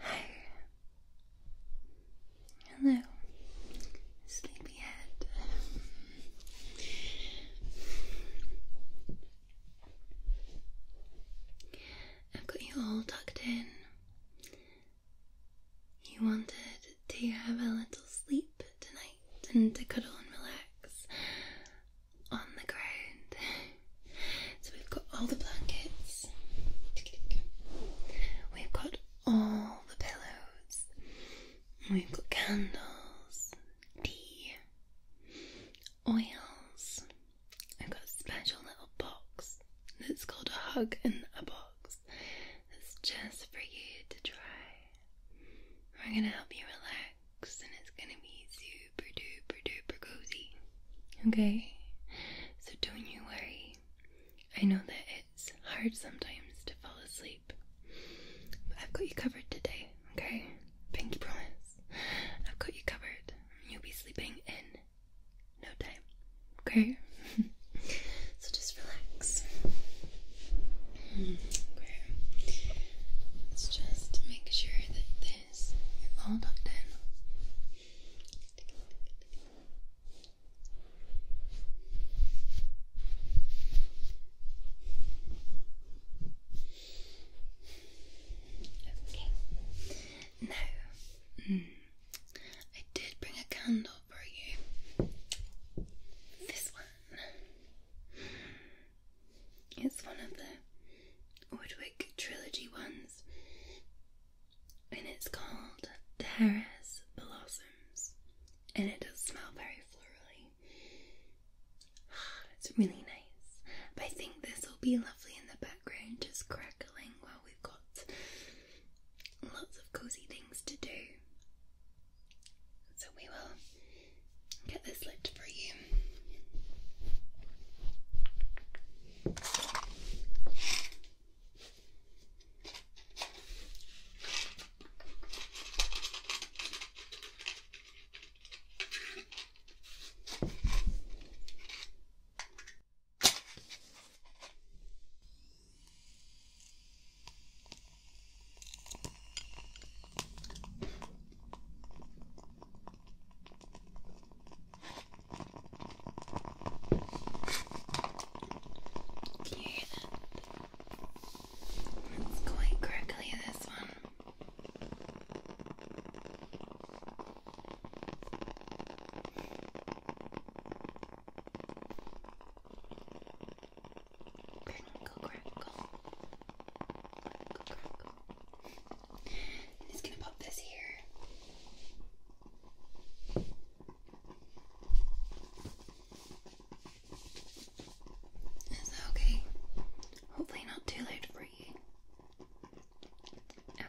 Hi. Hello, sleepyhead. I've got you all tucked in you wanted to have a little sleep tonight and to cuddle and relax on the ground. So we've got all the blankets, we've got all the pillows, we've got candles, tea, oils. I've got a special little box that's called a hug in a box it's just for you to try. We're gonna help you relax and it's gonna be super duper duper cozy. Okay? So don't you worry. I know that it's hard sometimes to fall asleep. I've got you covered today, okay? Pinky promise. I've got you covered. You'll be sleeping in no time. Okay? so just relax. Okay. Let's just make sure that this is all done. Okay. Now, mm, I did bring a candle for you. This one is one of the Woodwick trilogy ones, and it's called Terrace Blossoms, and it does smell very florally. It's really nice, but I think this will be lovely in the background, just crackling we've got lots of cozy things to do. So we will get this lit for you. Can you hear that? It's quite crickly, this one. Crinkle, crackle. Crinkle, it's gonna pop this here. Is that okay? Hopefully not too late for you. Okay.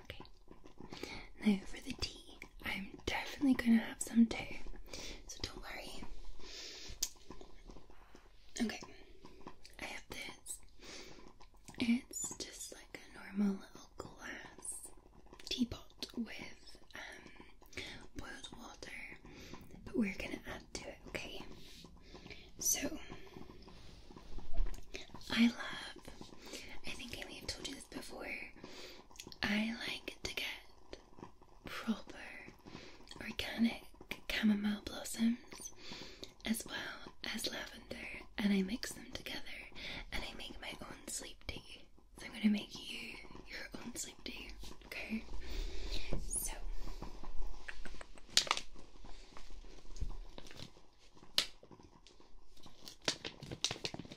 Now for the tea, I'm definitely gonna have some tea, so don't worry. Okay, I have this. It's just like a normal little glass teapot with um, boiled water, but we're gonna add to it, okay? So, I love, I think I may have told you this before, I like to get proper organic chamomile blossoms as well as lavender, and I mix them together and I make my own sleep tea. So I'm going to make you your own sleep tea, okay? So. So,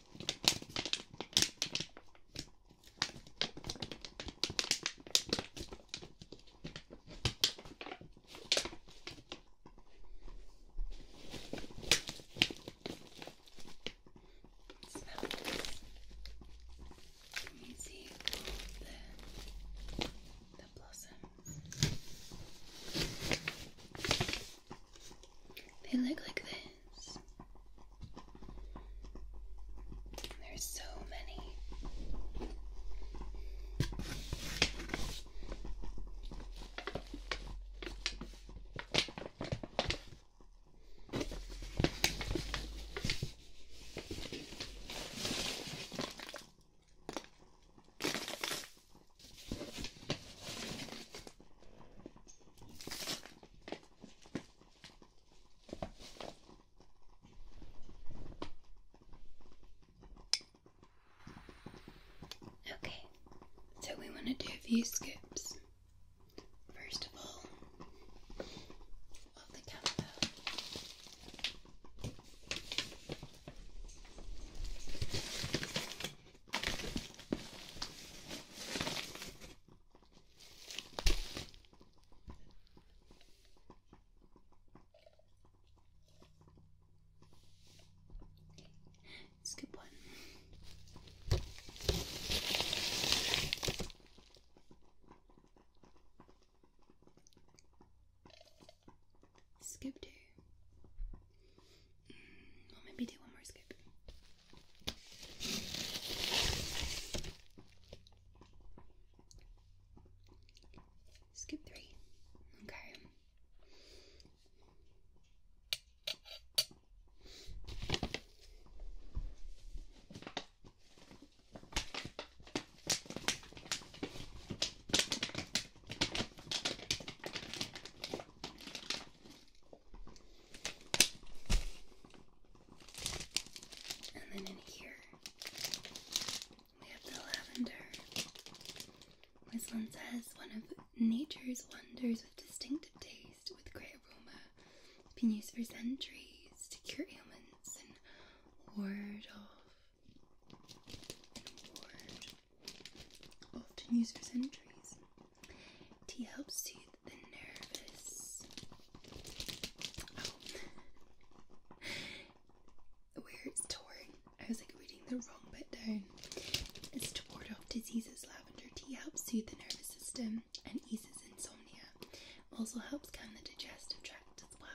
can see the, the blossoms? They look like this. There's so many. Okay, so we want to do a few scoops. First of all, of the campo. It's a good one. Scoop two. Mm, well, maybe do one more scoop. Skip three. Okay. And then in here, we have the lavender. This one says, one of nature's wonders with distinctive taste, with great aroma, been used for centuries to cure ailments and ward off. ward. Often used for centuries. Tea helps soothe the nervous. Oh. Where it's torn. I was like reading the wrong bit down. It's to off diseases. Lavender tea helps soothe the nervous system and eases insomnia. Also helps calm the digestive tract as well.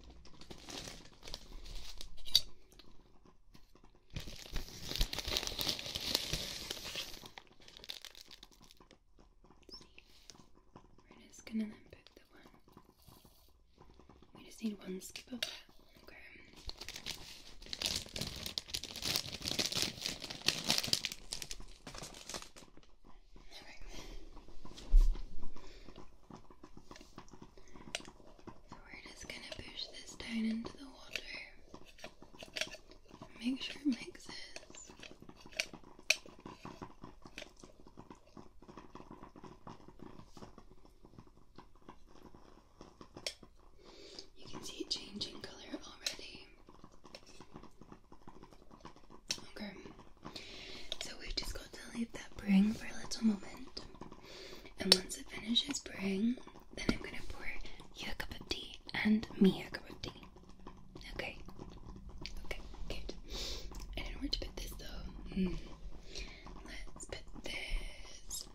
We're just gonna then put the one. We just need one skip of that. Okay. So we're just gonna push this down into the water. Make sure it mixes. You can see it changing colour already. Okay, so we've just got to leave that bring for a little moment. And once it finishes brewing, then I'm going to pour you a cup of tea and me a cup of tea. Okay. Okay, good. I don't know to put this though. Hmm. Let's put this.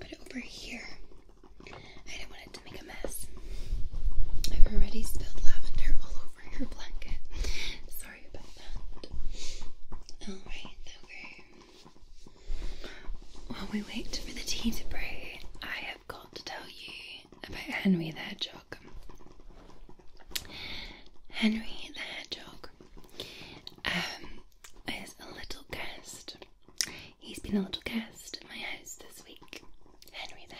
Put it over here. I don't want it to make a mess. I've already spilled lavender all over your blanket. Sorry about that. Alright, okay. While we wait for the tea to brew, I have got to tell you about Henry the Hedgehog. Henry the Hedgehog um, is a little guest. He's been a little guest at my house this week. Henry the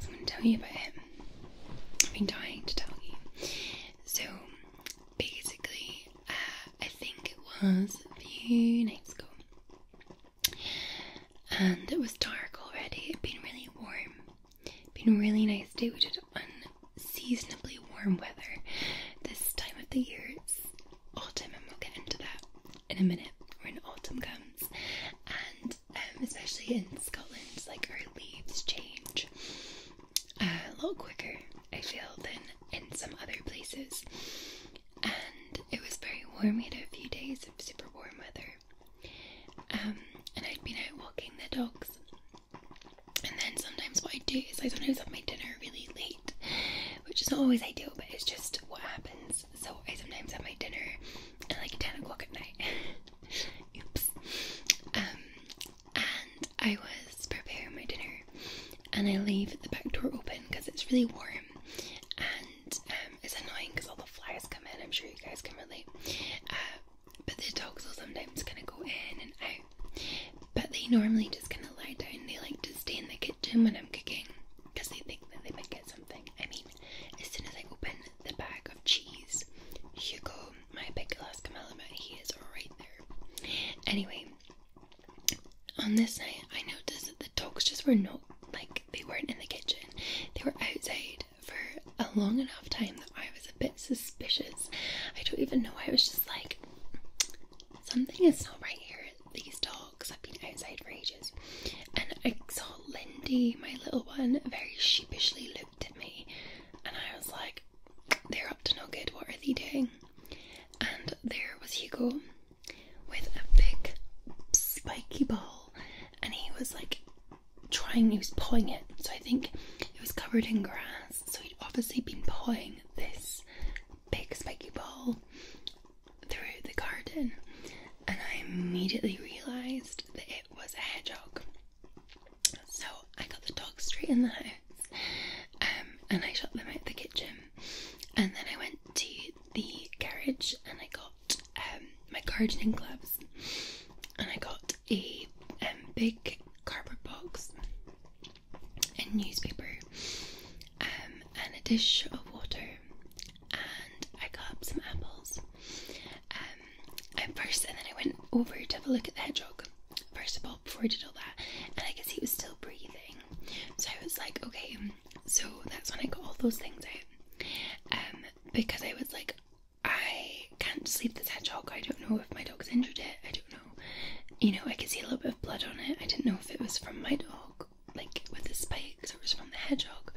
I'm going to tell you about him. I've been dying to tell you. So basically, uh, I think it was a few nights ago, and it was dark already. It'd been really warm. It'd been a really nice day. We did unseasonably warm weather this time of the year. It's autumn, and we'll get into that in a minute when autumn comes. And um, especially in Scotland, like our leaves change uh, a little quicker, I feel, than in some other places. And it was very warm, we had a few days of super warm weather. Um, and I'd been out walking the dogs. And then sometimes what I do is I sometimes have my dinner really late, which is not always ideal, but it's just what happens. So I sometimes have my dinner at like 10 o'clock at night. Oops. Um, and I was preparing my dinner, and I leave the back door open because it's really warm, and um, it's annoying because all the flies come in. I'm sure you guys can relate. Uh, but the dogs will sometimes kind of go in and out, but they normally just kind of lie down. They like to stay in the kitchen when I'm cooking because they think that they might get something. I mean, as soon as I open the bag of cheese, Hugo, my big Alaska Malamute, he is right there. Anyway, on this night, I noticed that the dogs just were not like they weren't in the kitchen. They were outside for a long enough time that I was a bit suspicious. I don't even know. why I was just like, something is not right here. These dogs have been outside for ages, and I saw Lindy, my little one, very sheepishly at me and I was like, they're up to no good, what are they doing? And there was Hugo with a big spiky ball and he was like trying, he was pawing it. So I think it was covered in grass, so he'd obviously been pawing this big spiky ball through the garden. And I immediately realised that it was a hedgehog. So I got the dogs straight in the house, um, and I shut them out the kitchen, and then I went to the garage and I got um, my gardening gloves, and I got a um, big cardboard box and newspaper, um, and a dish of water, and I got some apples at first, and then I went over to have a look at the hedgehog. First of all, before I did all that, and I could see he was still breathing, so I was like, okay. So that's when I got all those things out, um, because I was like, I can't sleep this hedgehog. I don't know if my dog's injured it. I don't know. You know, I could see a little bit of blood on it. I didn't know if it was from my dog, like with the spikes, or it was from the hedgehog.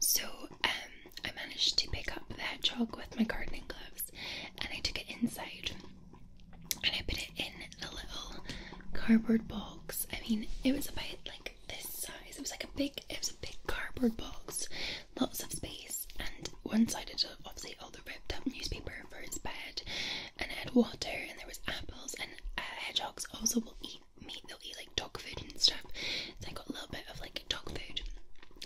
So um, I managed to pick up the hedgehog with my gardening gloves and I took it inside and I put it in a little cardboard box. I mean, it was about like this size. It was like a big, it was a big cardboard box, lots of space, and one side had obviously all the ripped up newspaper for its bed, and it had water, and there was apples, and uh, hedgehogs also will eat meat like dog food and stuff. So I got a little bit of like dog food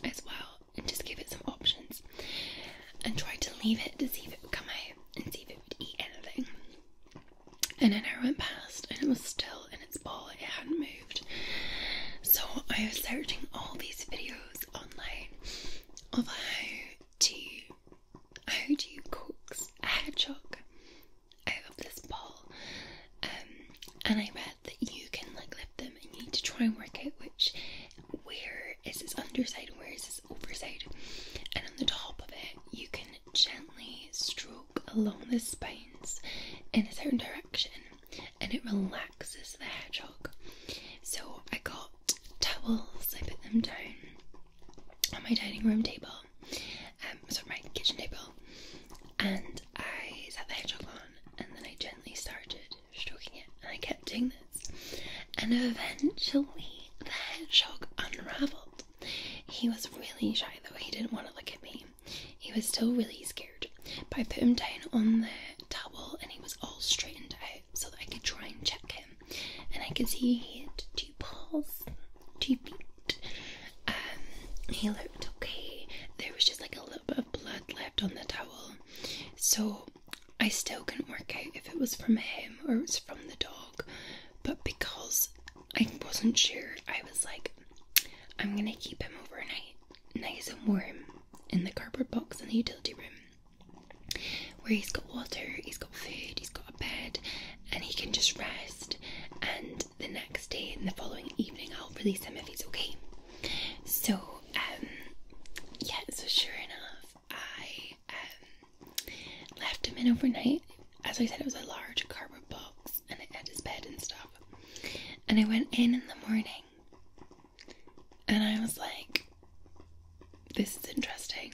as well and just gave it some options and tried to leave it to see if it would come out and see if it would eat anything. And an hour went past and it was still in its ball, it hadn't moved. So I was searching all these videos online of how to how do you coax a hedgehog out of this ball? Um, and I read that you can like lift them, and you need to try and work out which where is this underside where is this overside. And on the top of it, you can gently stroke along the spines in a certain direction, and it relaxes the hedgehog. So I got towels. I put them down on my dining room table, um, sorry, my kitchen table, and and I sat the hedgehog on and then I gently started stroking it and I kept doing this. And eventually the hedgehog unraveled. He was really shy though, he didn't want to look at me. He was still really scared. But I put him down on the towel and he was all straightened out so that I could try and check him. And I could see he had two paws, two feet. Um, he looked okay. There was just like a little bit blood left on the towel. So I still couldn't work out if it was from him or it was from the dog. But because I wasn't sure, I was like, I'm gonna keep him overnight, nice and warm, in the cardboard box in the utility room, where he's got water, he's got food, he's got a bed, and he can just rest. And the next day and the following evening I'll release him if he's okay. So, um, yeah, so sure enough, I um, left him in overnight. As I said, it was a large cardboard box and it had his bed and stuff. And I went in in the morning and I was like, this is interesting.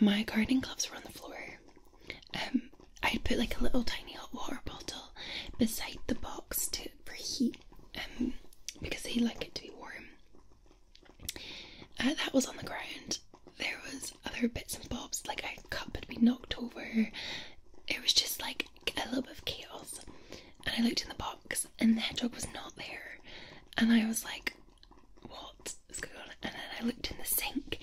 My gardening gloves were on the floor. Um, I'd put like a little tiny hot water bottle beside the box to for heat, um, because they like it to be warm. Uh, that was on the ground. There was other bits and bobs, like a cup had been knocked over. It was just like a little bit of chaos. And I looked in the box, and the hedgehog was not there. And I was like, "What is going on?" And then I looked in the sink,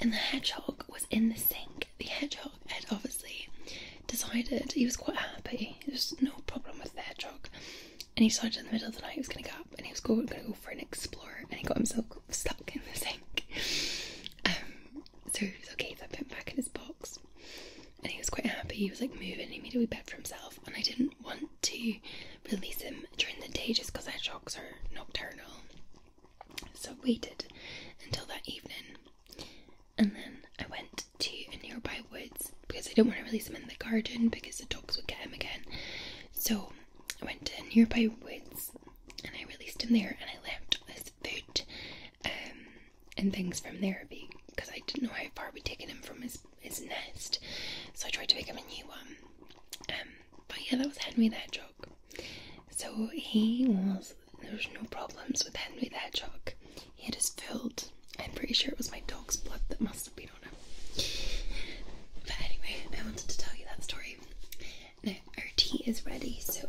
and the hedgehog was in the sink. The hedgehog had obviously decided he was quite happy. There was no problem with the hedgehog, and he decided in the middle of the night he was going to go up and he was going to go for an explorer, and he got himself stuck in the sink. Um, so he was okay if I put him back in his box, and he was quite happy. He was like moving, he made a wee bed for himself, and I didn't want to release him during the day just because hedgehogs are nocturnal. So I waited until that evening and then I went to a nearby woods because I didn't want to release him in the garden because the dogs would get him again. So I went to nearby woods and I released him there and I left all his food um, and things from therapy because I didn't know how far we'd taken him from his, his nest. So I tried to make him a new one. Um, but yeah, that was Henry that Hedgehog. So he was there was no problems with Henry the Hedgehog. He had his I'm pretty sure it was my dog's blood that must have been on him. But anyway, I wanted to tell you that story. Now, our tea is ready, so.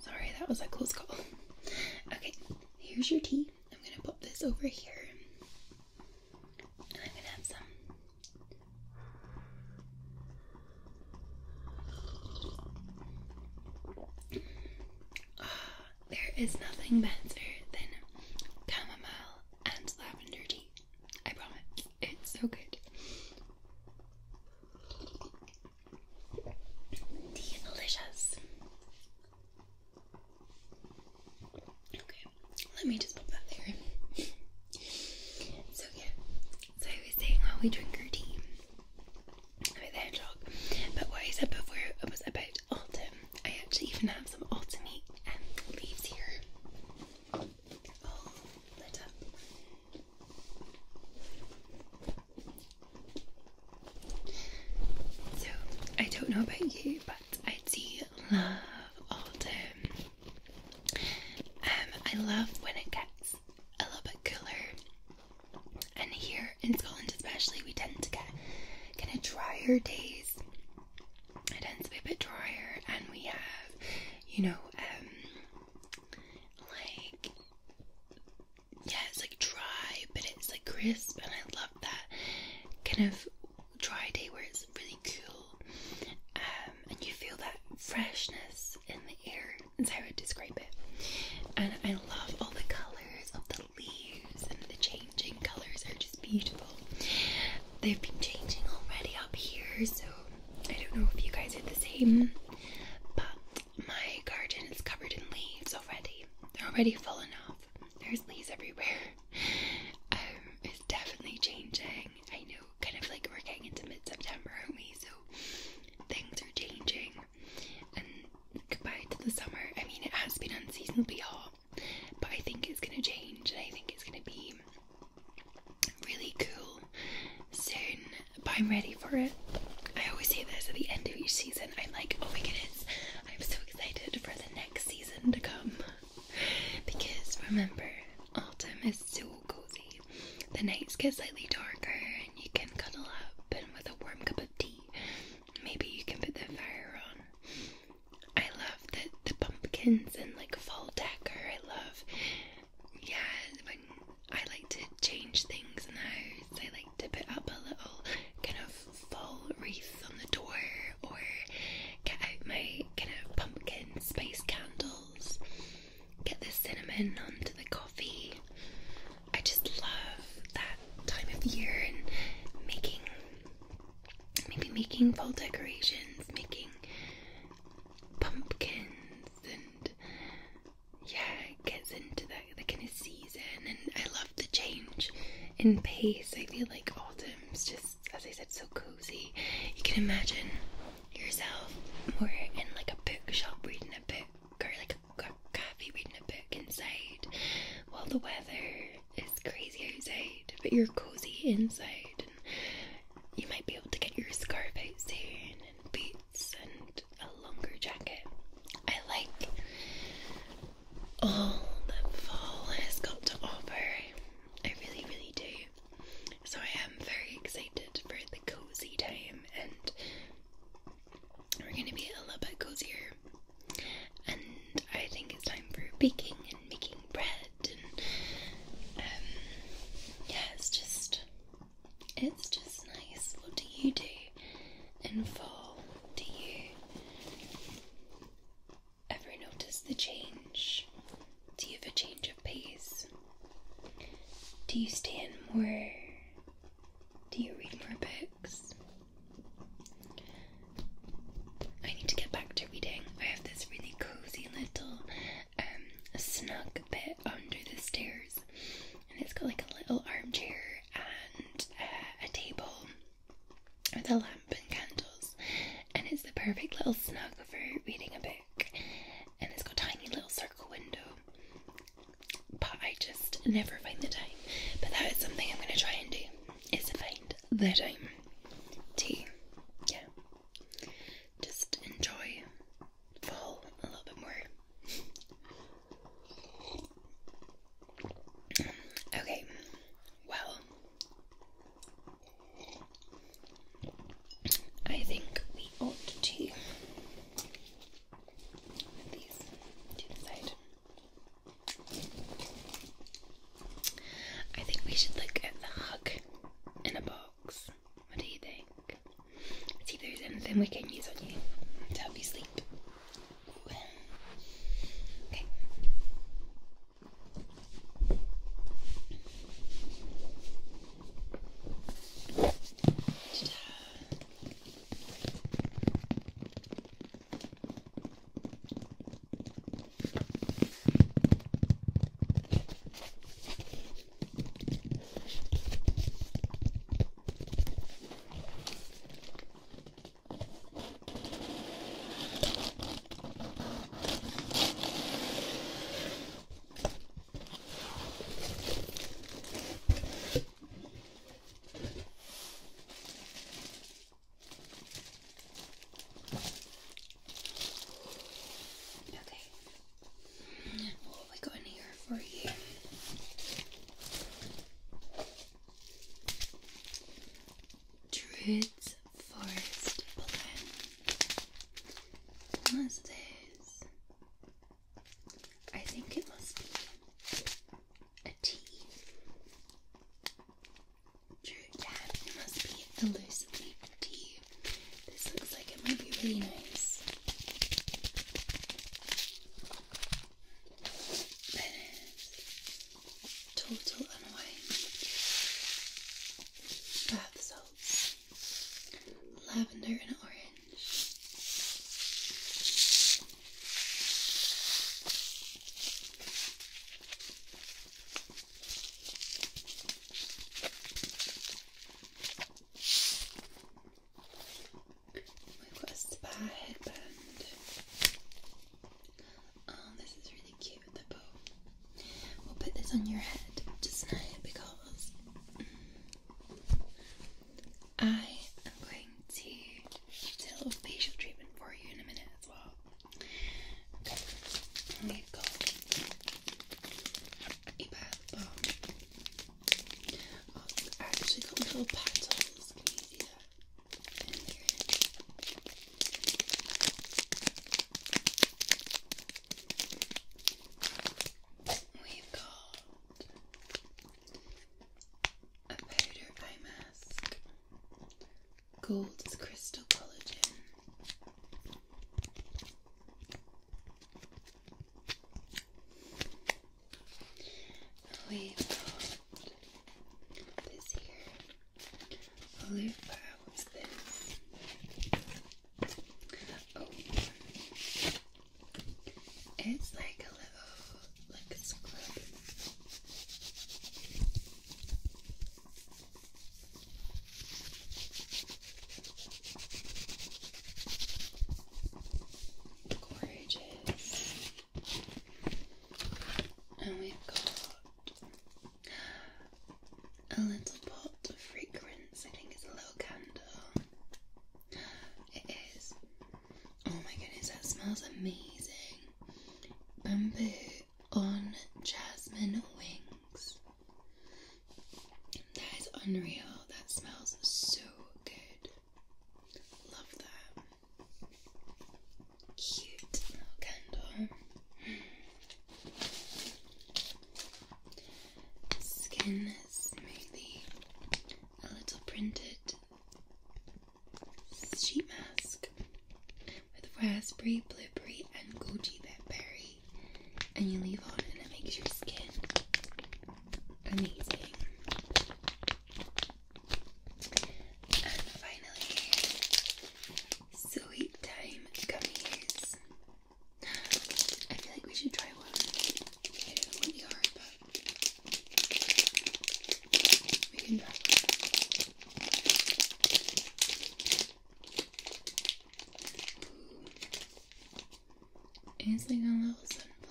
Sorry, that was a close call. Okay, here's your tea. I'm gonna pop this over here. I'm gonna have some. Oh, there is nothing better than chamomile and lavender tea. I promise. It's so good. Delicious. Okay, let me just pop that there. so yeah, so I was saying how we drink our tea about the hedgehog, but what I said before was about autumn. I actually even have some autumn leaves here, oh, so, I don't know about you, but I do love autumn. Um, I love when it gets a little bit cooler, and here in Scotland, especially, we tend to get kind of drier days. It tends to be a bit drier, and we have, you know, um, like yeah, it's like dry, but it's like crisp, and I love that kind of dry day where it's really cool, um, and you feel that freshness in the air. Is how I would describe it. And I love all the colours of the leaves and the changing colours are just beautiful. They've been changing already up here, so I don't know if you guys are the same, but my garden is covered in leaves already. They're already falling off. There's leaves everywhere. Um, it's definitely changing. I know, kind of like we're getting into mid September, aren't we? So things are changing. And goodbye to the summer, I mean, it has been unseasonably hot, but I think it's going to change and I think it's going to be really cool soon but I'm ready for it. I always say this at the end of each season. I'm like, oh my goodness, I'm so excited for the next season to come. Because remember, autumn is so cozy. The nights get slightly darker and you can cuddle up and with a warm cup of tea, maybe you can put the fire on. I love the, the pumpkins and like fall decor. I love, yeah, when I like to change things in the house. I like to put up a little kind of fall wreath on the door or get out my kind of pumpkin spice candles, get the cinnamon onto the coffee. I just love that time of year and making maybe making fall decorations, making pumpkins and yeah, gets into the, the kind of season, and I love the change in pace. I feel like autumn's just, as I said, so cozy. You can imagine yourself more in like a bookshop reading a book, or like a cafe reading a book inside, while the weather is crazy outside, but you're cozy inside, and you might be able to get your scarf out soon and boots and a longer jacket. I like all that fall has got to offer. I really, really do. So I am very excited for the cozy time, and we're going to be a little bit cozier. And I think it's time for baking and making bread, and um, yeah, it's just it's just nice. What do you do in fall? Do you ever notice the change? Do you have a change of pace? Do you stay in more? Do you read more books? I need to get back to reading. I have this really cozy little um snug bit under the stairs and it's got like a little armchair and uh, a table with a lamp and candles, and it's the perfect little snug for reading a book. And it's got tiny little circle window, but I just never find the time. But that is something I'm going to try and do: is to find the time to, yeah, just enjoy fall a little bit more. Okay, well, I think we ought to I think we should look at the hug in a box. What do you think? See if there's anything we can use on you to help you sleep. Okay. Okay. What have we got in here? here Forest Plan. What's this? I think it must be a tea. Druid, it must be hallucinate tea. This looks like it might be really nice. Pennies. Total Unwind. Bath salts. Lavender and orange. We've got a spa headband. Oh, this is really cute, the bow. We'll put this on your head just now because I am going to do a little facial treatment for you in a minute as well. we've got a bath bomb. Oh, I actually got little patterns. Can In here. We've got a powder eye mask, gold's crystal collagen, we put this here. Olive was this. Oh, it's like a little like a scrub. Of and we've got a little pot of fragrance. I think it's a little candle. It is. Oh my goodness, that smells amazing. Bamboo on jasmine wings. That is unreal. That smells so good. Love that. Cute little candle. Skin smoothie. A little printed sheet mask with raspberry, blueberry, and goji berry. And you leave on, and it makes your skin amazing. And finally, Sweet Time Gummies. I feel like we should try one. we can try Ooh. It's like a little sunflower.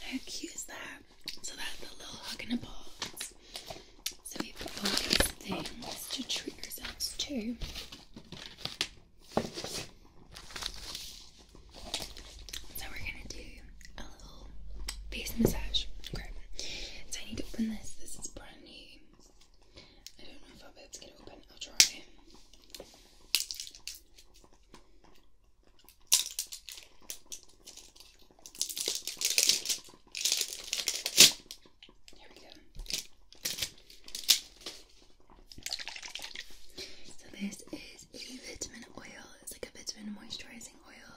How cute is that? So that's a little hug in a box. So we've got these things to treat ourselves to. So we're gonna do a little face massage. Okay. So I need to open this. This is brand new. I don't know if I'll to open. I'll try. There we go. So this is a vitamin oil. It's like a vitamin moisturizing oil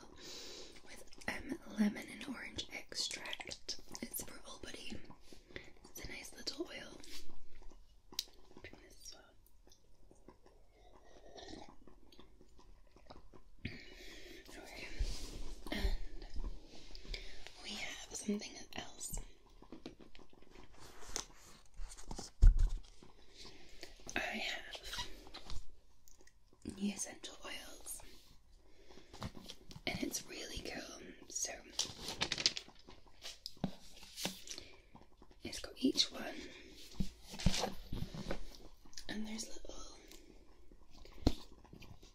with um, lemon and orange extract. It's for all body. It's a nice little oil. Bring this as well we have something else. I have the essential oils, and it's really cool. So it's got each one, and there's little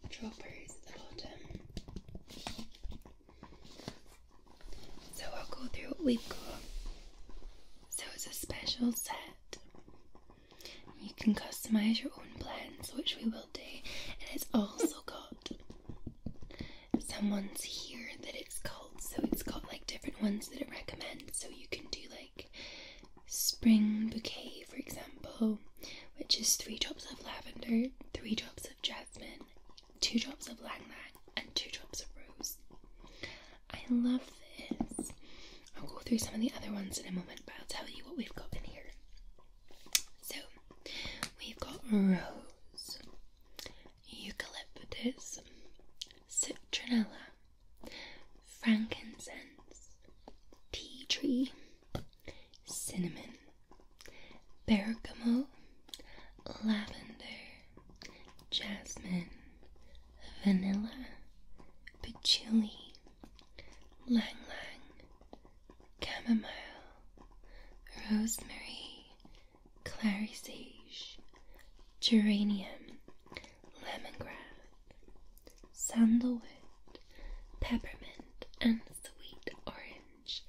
droppers at the bottom. So I'll go through what we've got. So it's a special set. You can customise your own blends, which we will do, and it's also got someone's here that it's called so it's got like different ones that it recommends. So you can do like spring bouquet, for example, which is three drops of lavender, three drops of jasmine, two drops of lang and two drops of rose. I love this. I'll go through some of the other ones in a moment, but I'll tell you what we've got in here. So we've got rose, eucalyptus, citronella, frankincense, tea tree, cinnamon, bergamot, lavender, jasmine, vanilla, patchouli, lang lang, chamomile, rosemary, clary sage, geranium, lemongrass, sandalwood, peppermint, and sweet orange.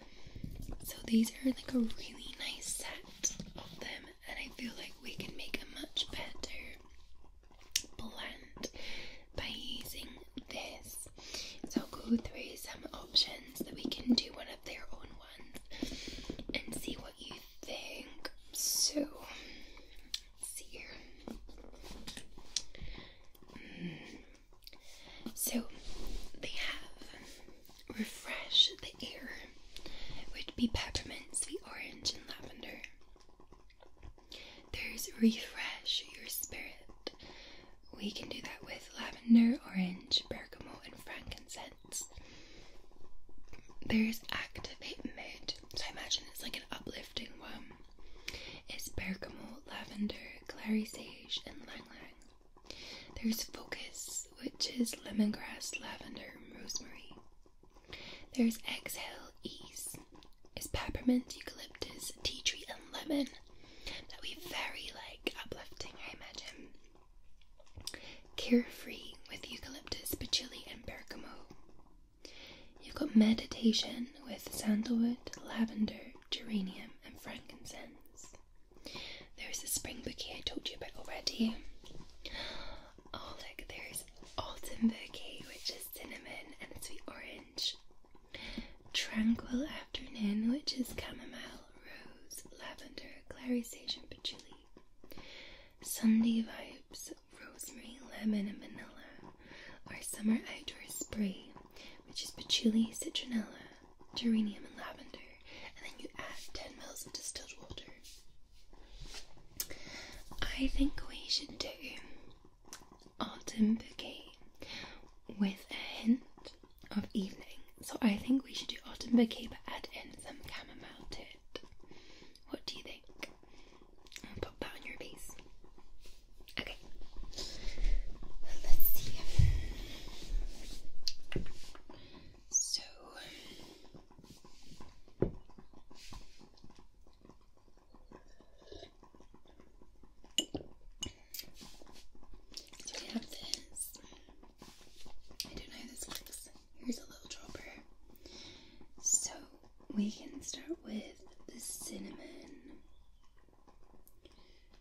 So these are like a really nice set of them, and I feel like we can make a much better blend by using this. So go through some options that we can do one of their own ones and see what you think so. see here. Mm. So they have refresh the air, which be peppermint, sweet orange, and lavender. There's refresh your spirit. We can do that with lavender, orange, bergamot, and frankincense. There's Activate Mood, so I imagine it's like an uplifting one. It's bergamot, lavender, clary sage, and lang lang. There's Focus, which is lemongrass, lavender, rosemary. There's Exhale, Ease, is peppermint, eucalyptus, tea tree, and lemon. That'll be very like uplifting, I imagine. Carefree with eucalyptus, patchouli, and bergamot. You've got meditation with sandalwood, lavender, geranium, and frankincense. There's the spring bouquet I talked to you about already. Oh, look, there's autumn bouquet, which is cinnamon and sweet orange. Tranquil afternoon, which is chamomile, rose, lavender, clary sage, and patchouli. Sunday Vibes Rosemary Lemon and Vanilla, our Summer Outdoor Spray, which is patchouli, citronella, geranium, and lavender, and then you add 10 mils of distilled water. I think we should do autumn bouquet with a hint of evening. So I think we should do autumn bouquet but add in some chamomile too. What do you think? And that on your face. Okay. Let's see. So we have this. I don't know this looks. Here's a little dropper. So we can start with the cinnamon.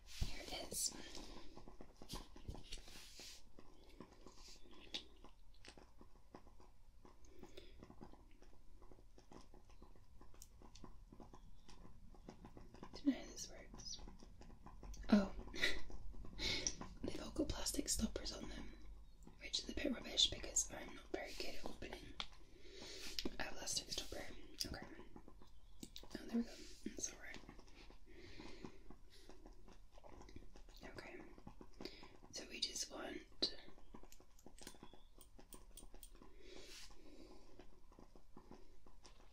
Here it is. Don't know how this works. Oh, they've all got plastic stoppers on them which is a bit rubbish because I'm not very good at opening uh, plastic stopper. Okay. Oh, there we go. That's Okay. So we just want.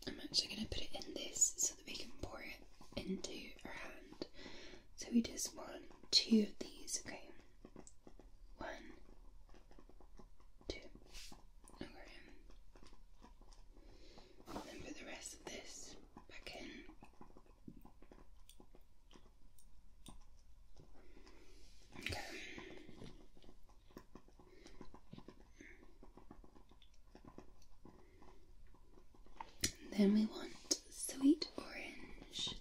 I'm actually going to put it in this so that we can pour it into our hand so we just want two of these, okay? One, two, And then put the rest of this back in. Okay. Then we want sweet orange.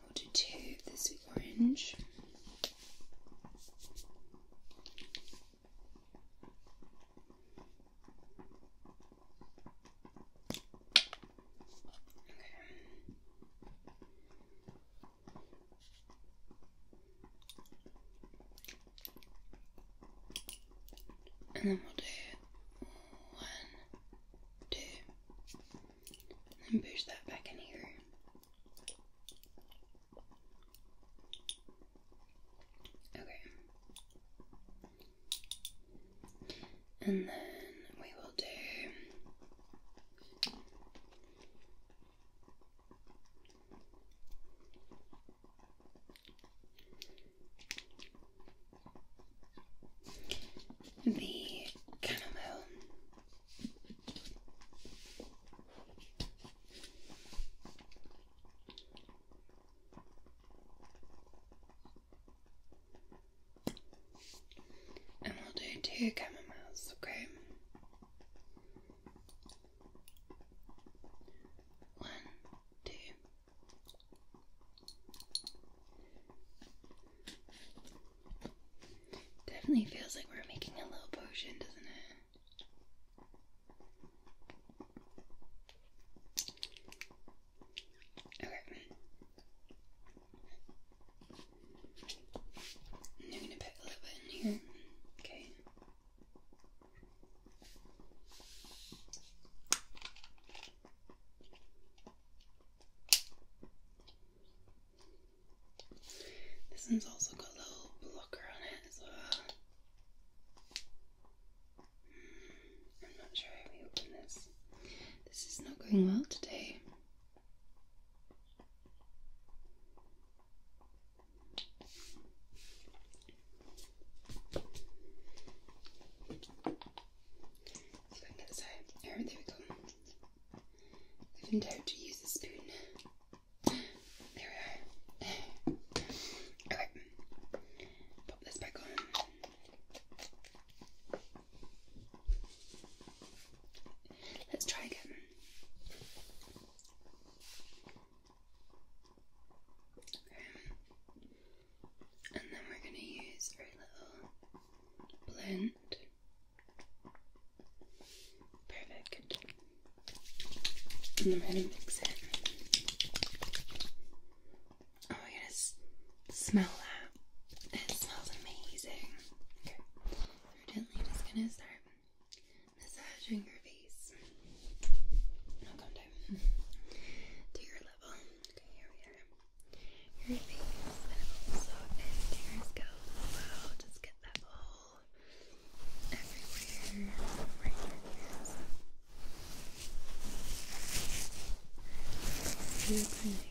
We'll do two of the sweet orange. And then we'll do one two, and push that back in here. Okay. And then we will do the chamomile. And we'll do two chamomiles, okay? One, two. Definitely feels like we're making a little potion, doesn't it? Okay. I'm gonna put a little bit in here. Okay. This one's also got a little blocker on it as well. Hmm, I'm not sure how we open this. This is not going well today. Let's find that side. There we go. I've been told to use a spoon. There we are. Okay. Pop this back on. Let's try again and then we're going to use our little blend. Perfect. And I'm are going to mix it. Oh my goodness, smell that. It smells amazing. Okay, evidently I'm just going to start massaging your face. No contact. To your level. Okay, here we are your face and also into your scalp as well. Just get that all everywhere right here. Super nice Okay,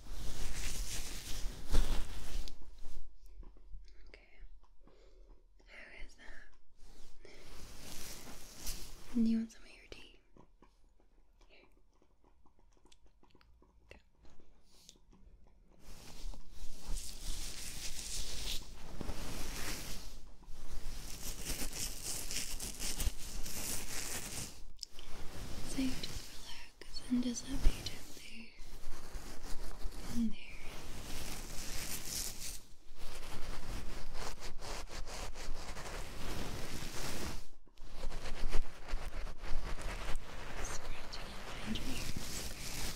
How is that? And you want some of your tea? So just relax and just up you gently in there. Scratching behind your ears. Okay.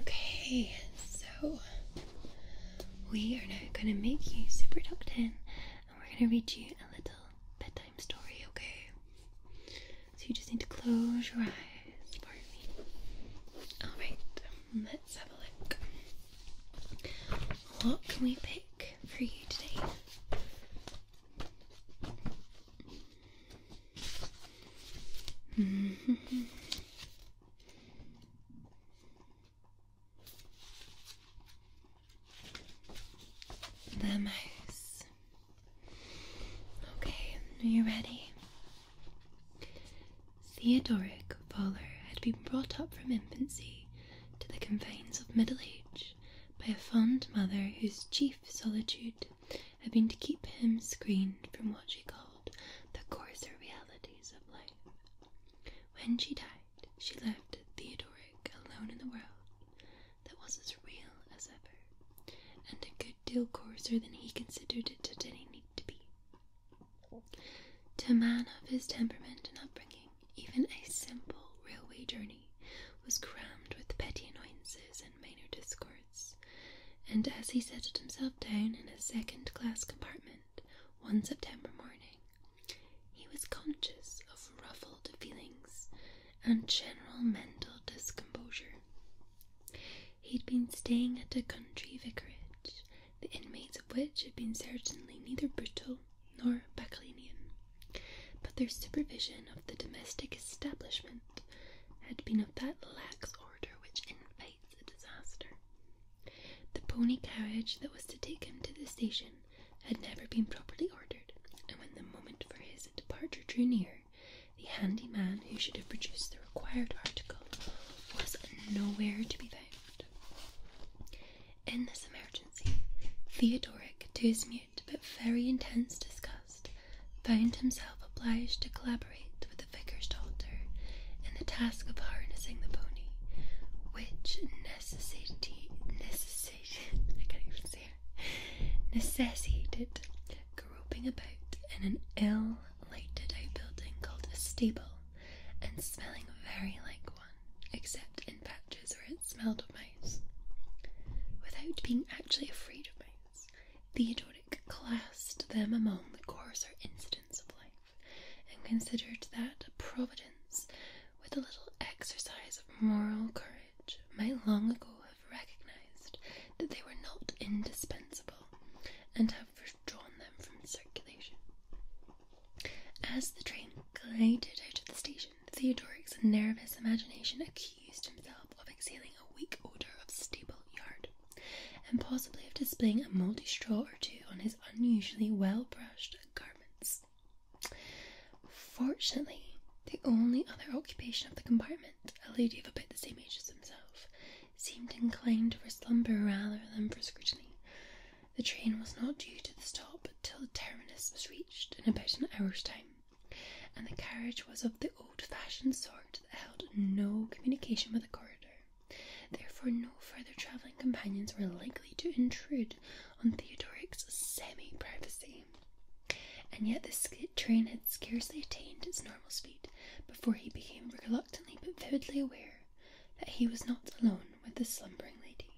Okay, so we are now going to make you super doped in and we're going to read you a little bedtime story, okay? So you just need to close your eyes for me. Alright, let's have a look. What can we pick for you today? the mouse. Okay, are you ready? Theodoric Voller had been brought up from infancy to the confines of middle age by a fond mother whose chief solitude had been to keep him screened from what she called the coarser realities of life. When she died, she left Theodoric alone in the world that was as real as ever, and a good deal coarser than he considered it to any need to be. To a man of his temperament and upbringing, even a simple railway journey was crammed with petty annoyances and minor discords, and as he settled himself down in a second class compartment one September morning, he was conscious of ruffled feelings and general mental discomposure. He'd been staying at a country vicarage the inmates of which had been certainly neither brutal nor Bacchanalian, but their supervision of the domestic establishment had been of that lax order which invites a disaster. The pony carriage that was to take him to the station had never been properly ordered, and when the moment for his departure drew near, the handy man who should have produced the required article was nowhere to be found. In this emergency, Theodoric, to his mute but very intense disgust, found himself obliged to collaborate with the vicar's daughter in the task of harnessing the pony, which necessity, necessitated groping about in an ill-lighted building called a stable and smelling very like one except in patches where it smelled of mice. Without being actually afraid of mice, Theodoric classed them among the coarser incidents of life and considered that Providence, with a little exercise of moral courage, might long ago have recognized that they were not indispensable and have for withdrawn them from circulation. As the train glided out of the station, Theodoric's nervous imagination accused himself of exhaling a weak odour of stable yard, and possibly of displaying a mouldy straw or two on his unusually well brushed garments. Fortunately, the only other occupation of the compartment, a lady of about the same age as himself, seemed inclined for slumber rather than for scrutiny, the train was not due to the stop till the terminus was reached in about an hour's time, and the carriage was of the old fashioned sort that held no communication with the corridor. Therefore, no further travelling companions were likely to intrude on Theodoric's semi privacy. And yet, the train had scarcely attained its normal speed before he became reluctantly but vividly aware that he was not alone with the slumbering lady.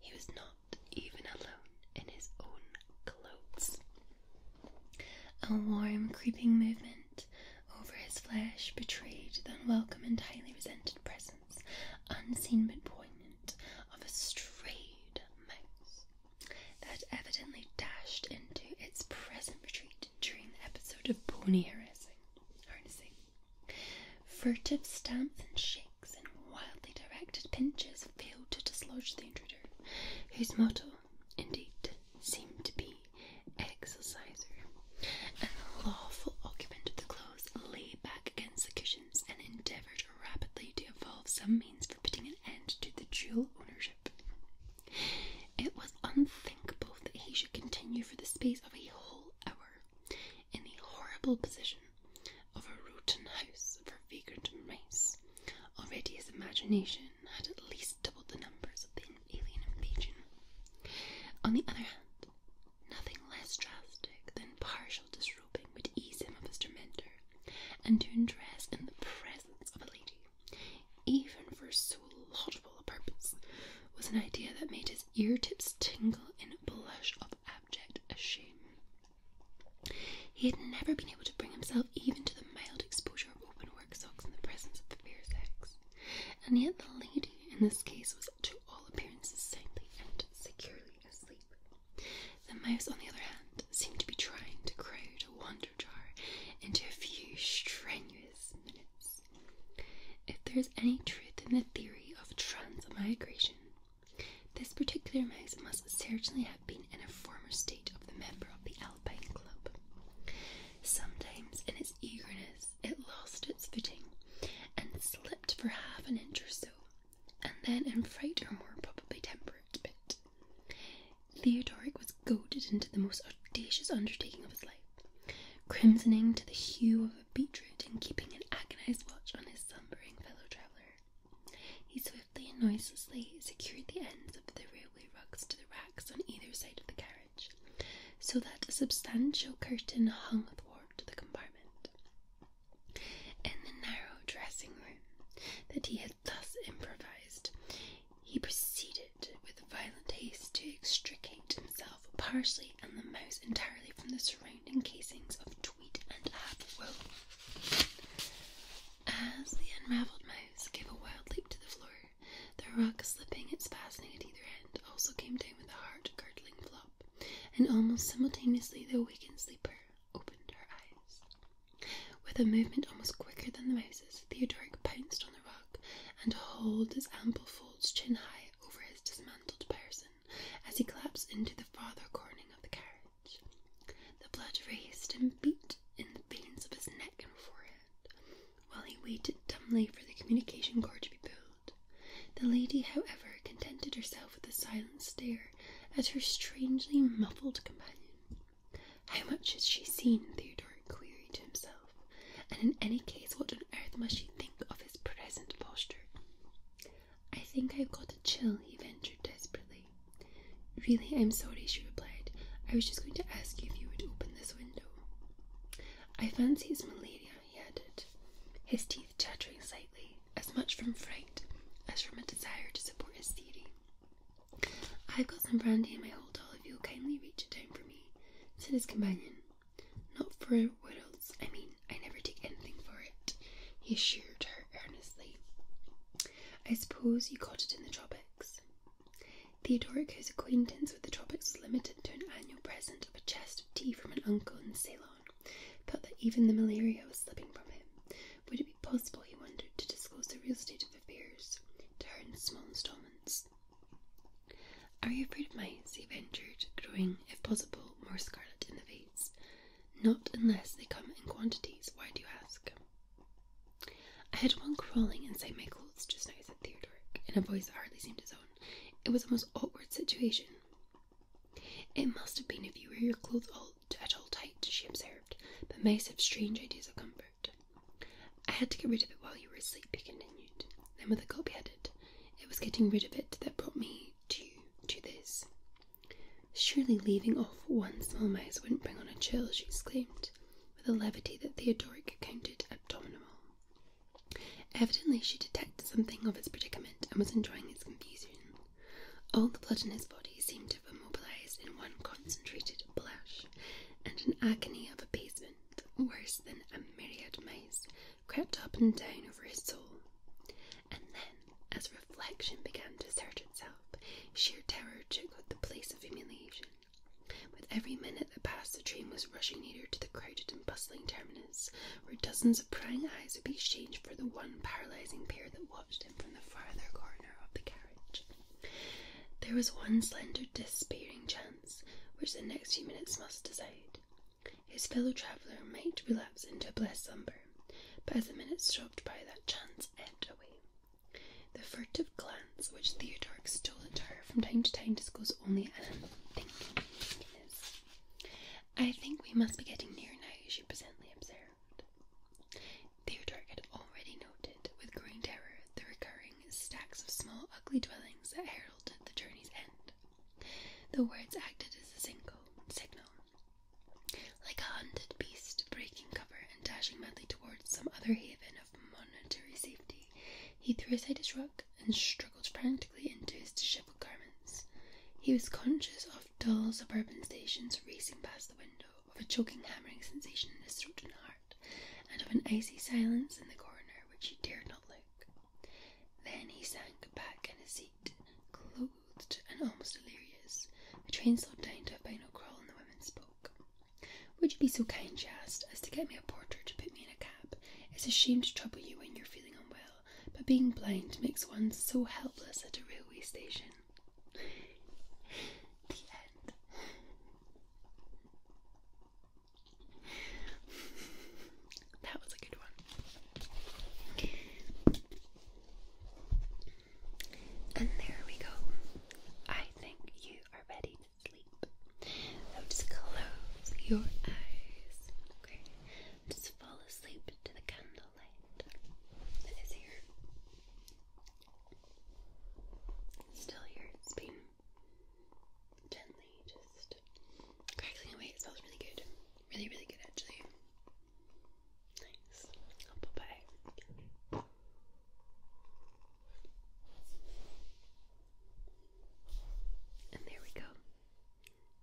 He was not even alone in his own clothes. A warm, creeping movement over his flesh betrayed the unwelcome and highly resented presence, unseen but poignant, of a strayed mouse that evidently dashed into its present retreat during the episode of pony Furtive stamps and shakes and wildly directed pinches failed to dislodge the intruder, whose motto, indeed, seemed to be exerciser. And the lawful occupant of the clothes lay back against the cushions and endeavoured rapidly to evolve some means for putting an end to the dual ownership. It was unthinkable that he should continue for the space of a whole hour in the horrible position of a rotten house for vagrant race, Already his imagination had at least doubled the numbers of the alien invasion. On the other hand, nothing less drastic than partial disrobing would ease him of his tormentor, and to undress in the presence of a lady, even for so laudable a purpose, was an idea that made his ear tips tingle in a blush of abject shame. He had never been able to bring himself even to the mild exposure of open work socks in the presence of the fair sex, and yet the lady in this case was to all appearances soundly and securely asleep. The mouse, on the other hand, seemed to be trying to crowd a wonder jar into a few strenuous minutes. If there is any truth in the theory of transmigration, this particular mouse must certainly have been in a former state of the member of the Alpine Club. Sometimes, in its eagerness, it lost its footing and slipped for half an inch or so, and then, in fright or more probably temperance, bit. Theodoric was goaded into the most audacious undertaking of his life crimsoning to the hue of a beetroot and keeping an agonized watch on his slumbering fellow traveller. He swiftly and noiselessly secured the ends of the railway rugs to the racks on either side of the carriage, so that a substantial curtain hung athwart the compartment. In the narrow dressing room that he had thus improvised, he proceeded with violent haste to extricate himself partially and the mouse entirely from the surrounding casings of tweed and ab wool. As the unravelled mouse gave a wild leap to the floor, the rug slipping its fastening at either end also came down with a heart girdling flop, and almost simultaneously the awakened sleeper opened her eyes. With a movement almost quicker than the mouse's, Theodoric pounced on the rug and hauled its ample folds chin high over his dismantled person as he collapsed into the farther corner of the carriage. The blood raced and beat in the veins of his neck and forehead while he waited dumbly for the communication cord to be pulled. The lady, however, contented herself with a silent stare at her strangely muffled companion. How much has she seen? Theodore queried to himself, and in any case, what on earth must she think of his present posture? I think I've got a chill, he ventured desperately. Really, I'm sorry, she replied. I was just going to ask you if you would open this window. I fancy it's malaria, he added, his teeth chattering slightly, as much from fright as from a desire to support his theory. I've got some brandy in my hold all if you'll kindly reach it down for me, said his companion. Not for worlds. I mean, I never take anything for it, he assured her earnestly. I suppose you got it in the tropics. Theodoric, whose acquaintance with the tropics was limited to an annual present of a chest of tea from an uncle in Ceylon, felt that even the malaria was slipping from him. Would it be possible, he wondered, to disclose the real state of affairs to her in small installments? Are you afraid of mice? he ventured, growing, if possible, more scarlet in the face. Not unless they come in quantities. Why do you ask? I had one crawling inside my clothes just now, said Theodoric, in a voice that hardly seemed his own. It was a most awkward situation. It must have been if you wear your clothes all, at all tight, she observed, but mice have strange ideas of comfort. I had to get rid of it while you were asleep, he continued. Then with a gulp he It was getting rid of it that brought me due do this? Surely leaving off one small mouse wouldn't bring on a chill, she exclaimed, with a levity that Theodoric counted abominable. Evidently, she detected something of his predicament and was enjoying its confusion. All the blood in his body seemed to have immobilized in one concentrated blush, and an agony of abasement, worse than a myriad mice crept up and down over his soul. And then, as reflection began to assert itself, sheer terror took the place of humiliation. With every minute that passed, the train was rushing nearer to the crowded and bustling terminus, where dozens of prying eyes would be exchanged for the one paralysing pair that watched him from the farther corner of the carriage. There was one slender, despairing chance which the next few minutes must decide. His fellow traveller might relapse into a blessed slumber, but as the minutes stopped by, that chance ebbed away. The furtive glance which Theodore stole at her from time to time disclosed only an unthinking weakness. I think we must be getting near now, she presently observed. Theodore had already noted with growing terror the recurring stacks of small, ugly dwellings that heralded the journey's end. The words acted as a single signal. Like a hunted beast, breaking cover and dashing madly towards some other haven of monetary safety, he threw aside his rug and struggled frantically into his dishevelled garments. He was conscious of dull suburban stations racing past the window, of a choking, hammering sensation in his throat and heart, and of an icy silence in the corner which he dared not look. Then he sank back in his seat, clothed and almost delirious. The train slowed down to a final crawl, and the women spoke. Would you be so kind, she asked, as to get me a porter to put me in a cab? It's a shame to trouble you when you're feeling unwell, but being blind makes one so helpless at a railway station. That was a good one. And there we go. I think you are ready to sleep. So just close your eyes. Okay. Just fall asleep to the candlelight that is here. Still here. It's been gently just crackling away. It smells really good. Really, really good actually. Nice. Bye bye. And there we go.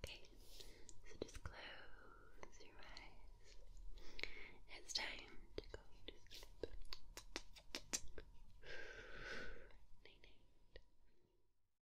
Okay, so just close your eyes. It's time to go to sleep.